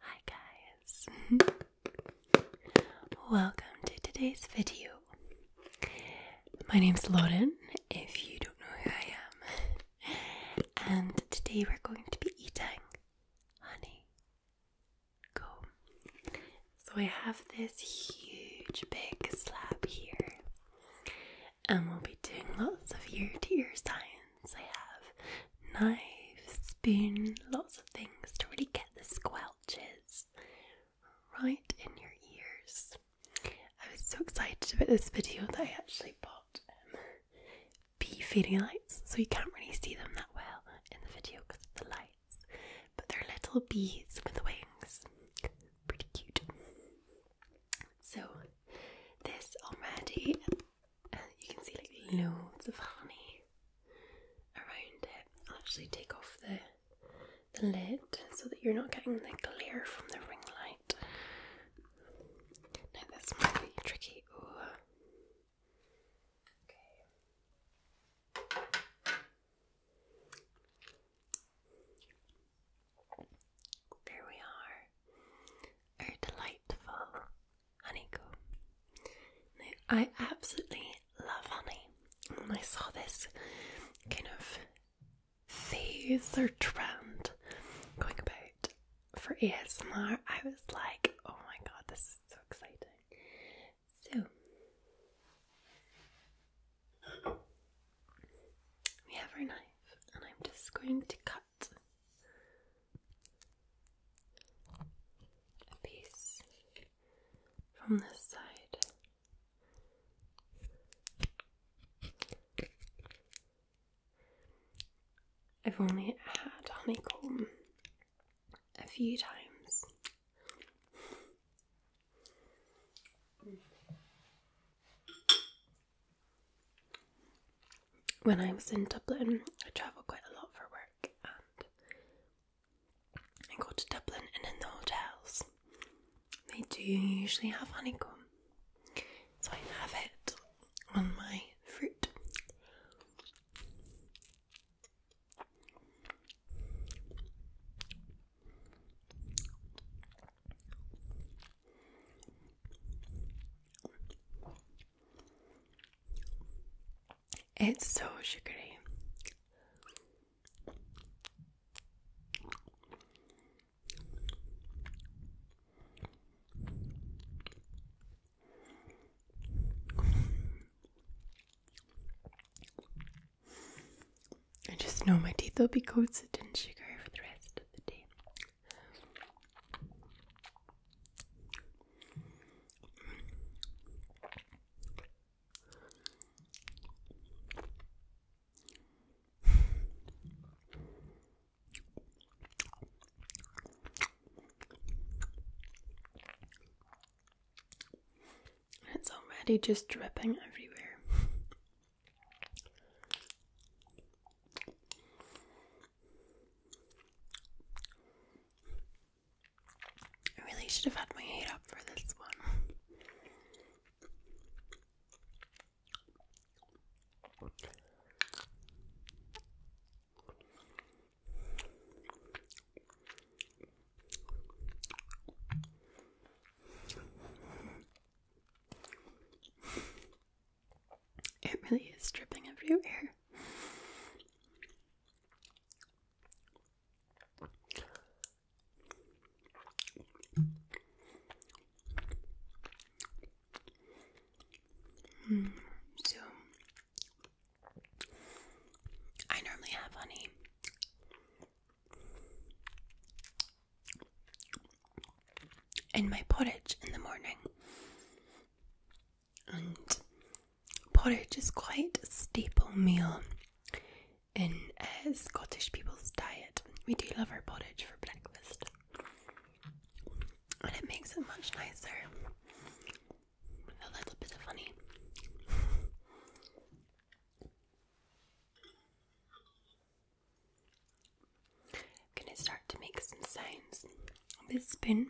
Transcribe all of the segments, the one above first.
Hi guys! Welcome to today's video. My name's Lauren, if you don't know who I am, and today we're going to be eating honey comb. So I have this huge big slab here, and we'll be doing lots of ear to ear science I have knife, spoon, lots of things to really get the squelches right in your ears. I was so excited about this video that I actually bought um, bee feeding lights, so you can't really see them that well in the video because of the lights, but they're little bees with wings. Pretty cute. So, this already and you can see like loads of honey around it. I'll actually take off the lid so that you're not getting the glare from the ring light. Now this might be tricky. Ooh. Okay. There we are. Our delightful honeycomb. I absolutely love honey. When I saw this kind of phase or trend going about for ASMR, I was like, oh my god, this is so exciting. So, we have our knife, and I'm just going to cut. A piece from this side. I've only had honeycomb a few times when I was in Dublin, I travel quite a lot for work, and I go to Dublin, and in the hotels, they do usually have honeycomb, so I have it on my fruit. It's so sugary. I just know my teeth will be coated in sugar for the rest of the day. It's already just dripping everywhere. I really should have had my head up for this one. It really is dripping everywhere. Mm, so, I normally have honey. In my porridge in the morning, and porridge is quite a staple meal in Scottish people's diet. We do love our porridge for breakfast, and it makes it much nicer with a little bit of honey. I'm gonna start to make some sounds with spoon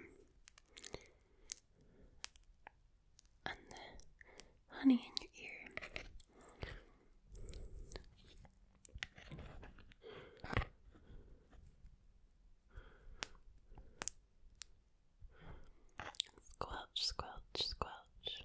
and honey in your ear. Squelch, squelch, squelch.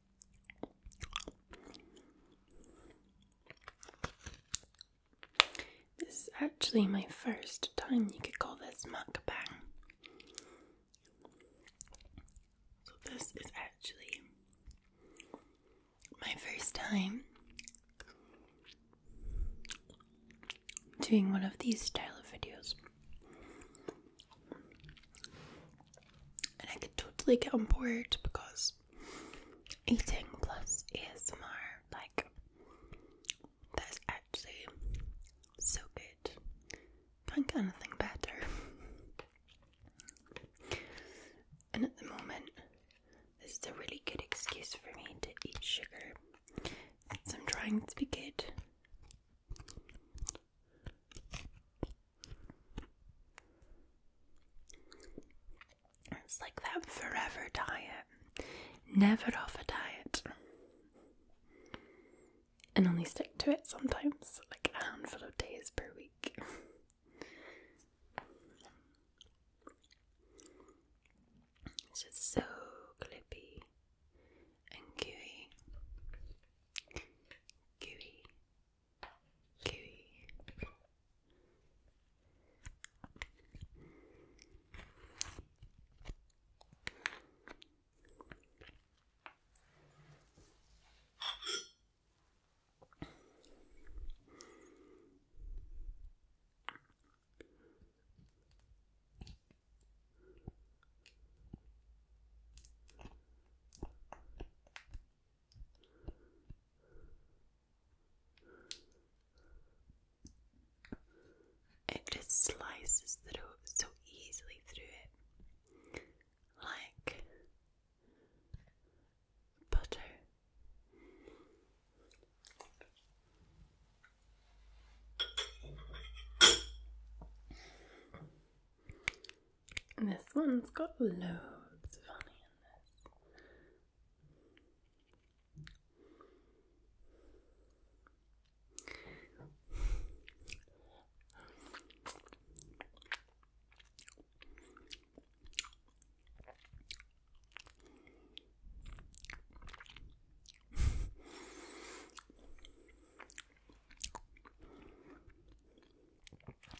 This is actually my first time you could call this mukbang. So, this is actually my first time doing one of these style of videos and I could totally get on board because eating plus ASMR, like, that is actually so good. I Can't get anything better. and at the moment, this is a really good excuse for me to eat sugar since I'm trying to be good. It's like that forever diet. Never off a diet. And only stick to it sometimes, like a handful of days per week. It's just so clippy and gooey. Gooey Kiwi. It just slices through so easily through it, like butter. And this one's got loads of honey in this.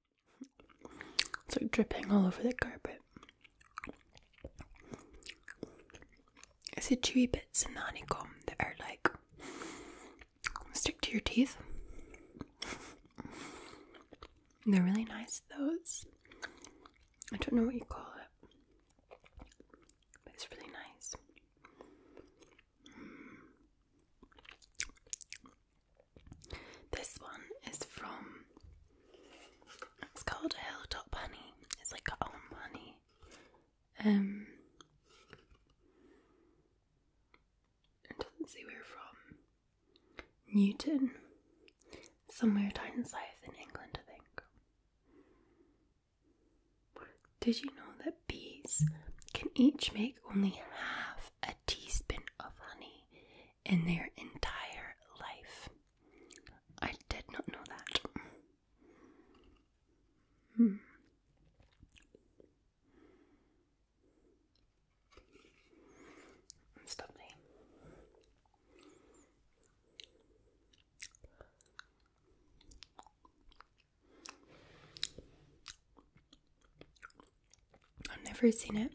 It's like dripping all over the carpet. I see chewy bits and the honeycomb that are like stick to your teeth. they're really nice, those. I don't know what you call it, but it's really nice. This one is from. It's called Hilltop Honey. It's like our own honey. Um. It doesn't say where from. Newton. Somewhere down south in England, I think. Did you know that bees can each make only half a teaspoon of honey in their entire life. I did not know that. Hmm. It's I've never seen it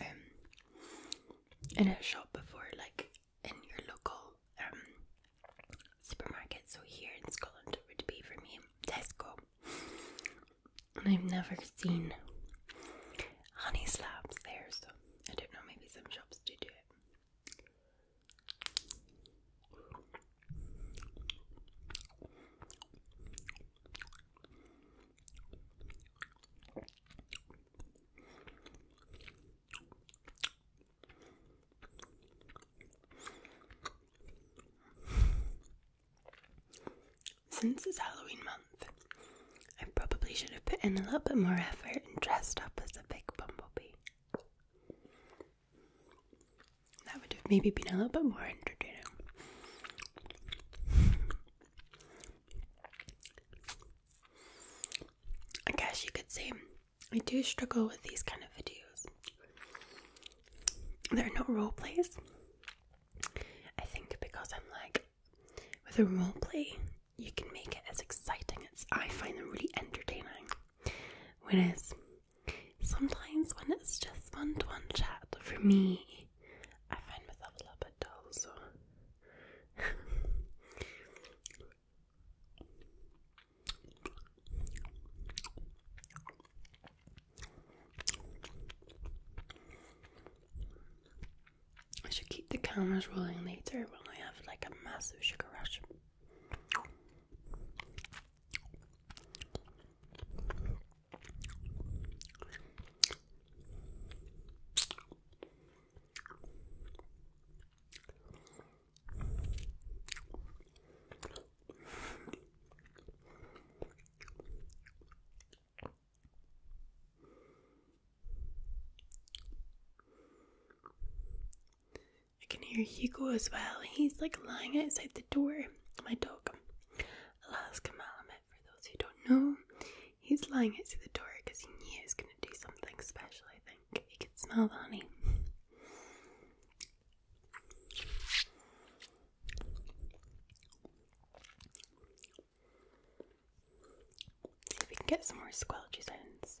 um, in a shop before, like in your local um, supermarket. So here in Scotland it would be for me Tesco. And I've never seen honey slabs there, so I don't know, maybe some shops do do it. Since it's Halloween month, I probably should have put in a little bit more effort and dressed up as a big bumblebee. That would have maybe been a little bit more entertaining. I guess you could say I do struggle with these kind of videos. There are no role plays. I think because I'm like, with a role play, you can make it as exciting as I find them really entertaining. Whereas sometimes when it's just one to one chat, for me, I find myself a little bit dull, so. I should keep the cameras rolling later when I have like a massive sugar rush. I can hear Hugo as well. He's like lying outside the door. My dog. Alaska Malamut, for those who don't know, he's lying outside the door because he knew he was going to do something special, I think. He could smell the honey. See if we can get some more squelchy sounds.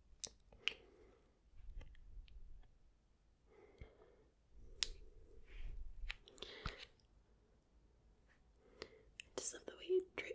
I just love the way it drips.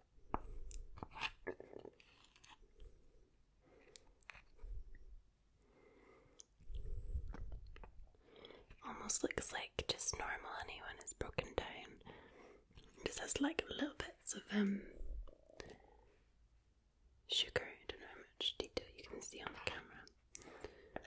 Almost looks like just normal honey when it's broken down. It just has like little bits of um sugar. I don't know how much detail you can see on the camera.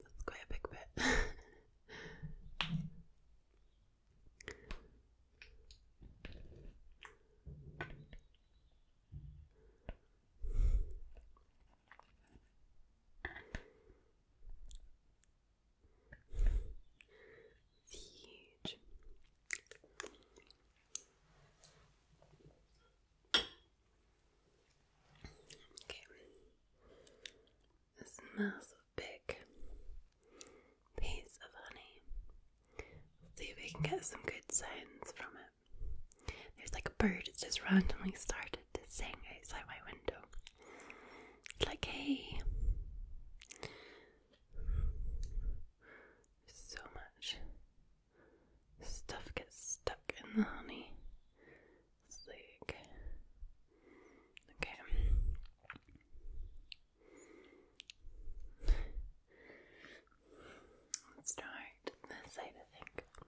That's quite a big bit. Huge. Okay. This massive big piece of honey. See if we can get some good sounds from it. There's like a bird that just randomly started to sing outside my window. It's like, hey. So much stuff gets stuck in the honey. It's like, okay. Let's start this side, I think.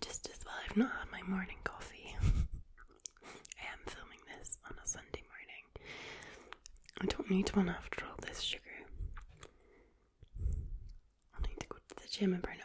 Just as well, I've not had my morning coffee. I am filming this on a Sunday morning. I don't need one after all this sugar. I need to go to the gym and burn it off.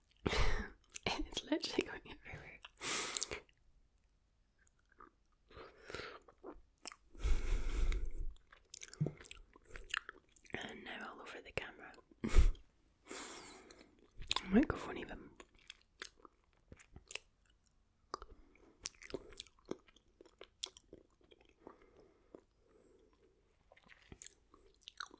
it's literally going everywhere. And now all over the camera. Microphone even.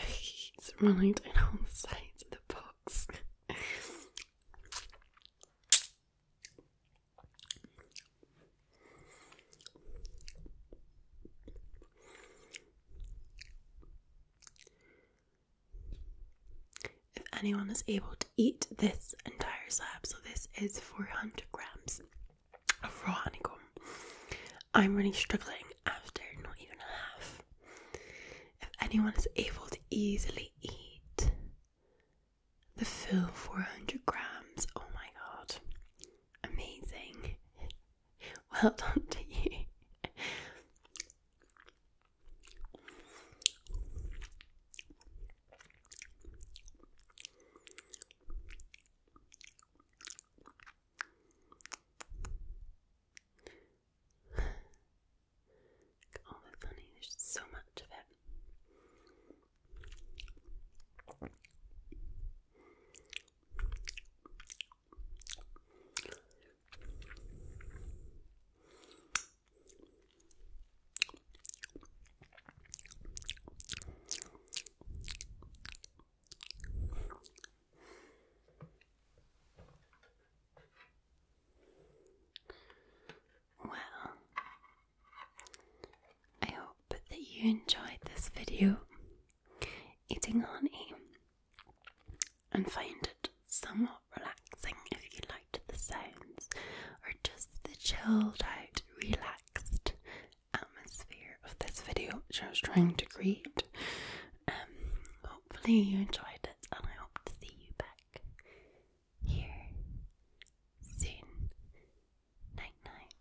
He's running down all the sides of the box. If anyone is able to eat this entire slab, so this is 400 grams of raw honeycomb, I'm really struggling after not even half. If anyone is able to easily eat the full 400 grams, oh my god, amazing! Well done to you. All the funny, there's so much of it. Well, I hope that you enjoyed this video eating honey and find it somewhat relaxing if you liked the sounds or just the chilled out, relaxed atmosphere of this video which I was trying to create. Um, hopefully, you enjoyed it, and I hope to see you back here soon. Night, night.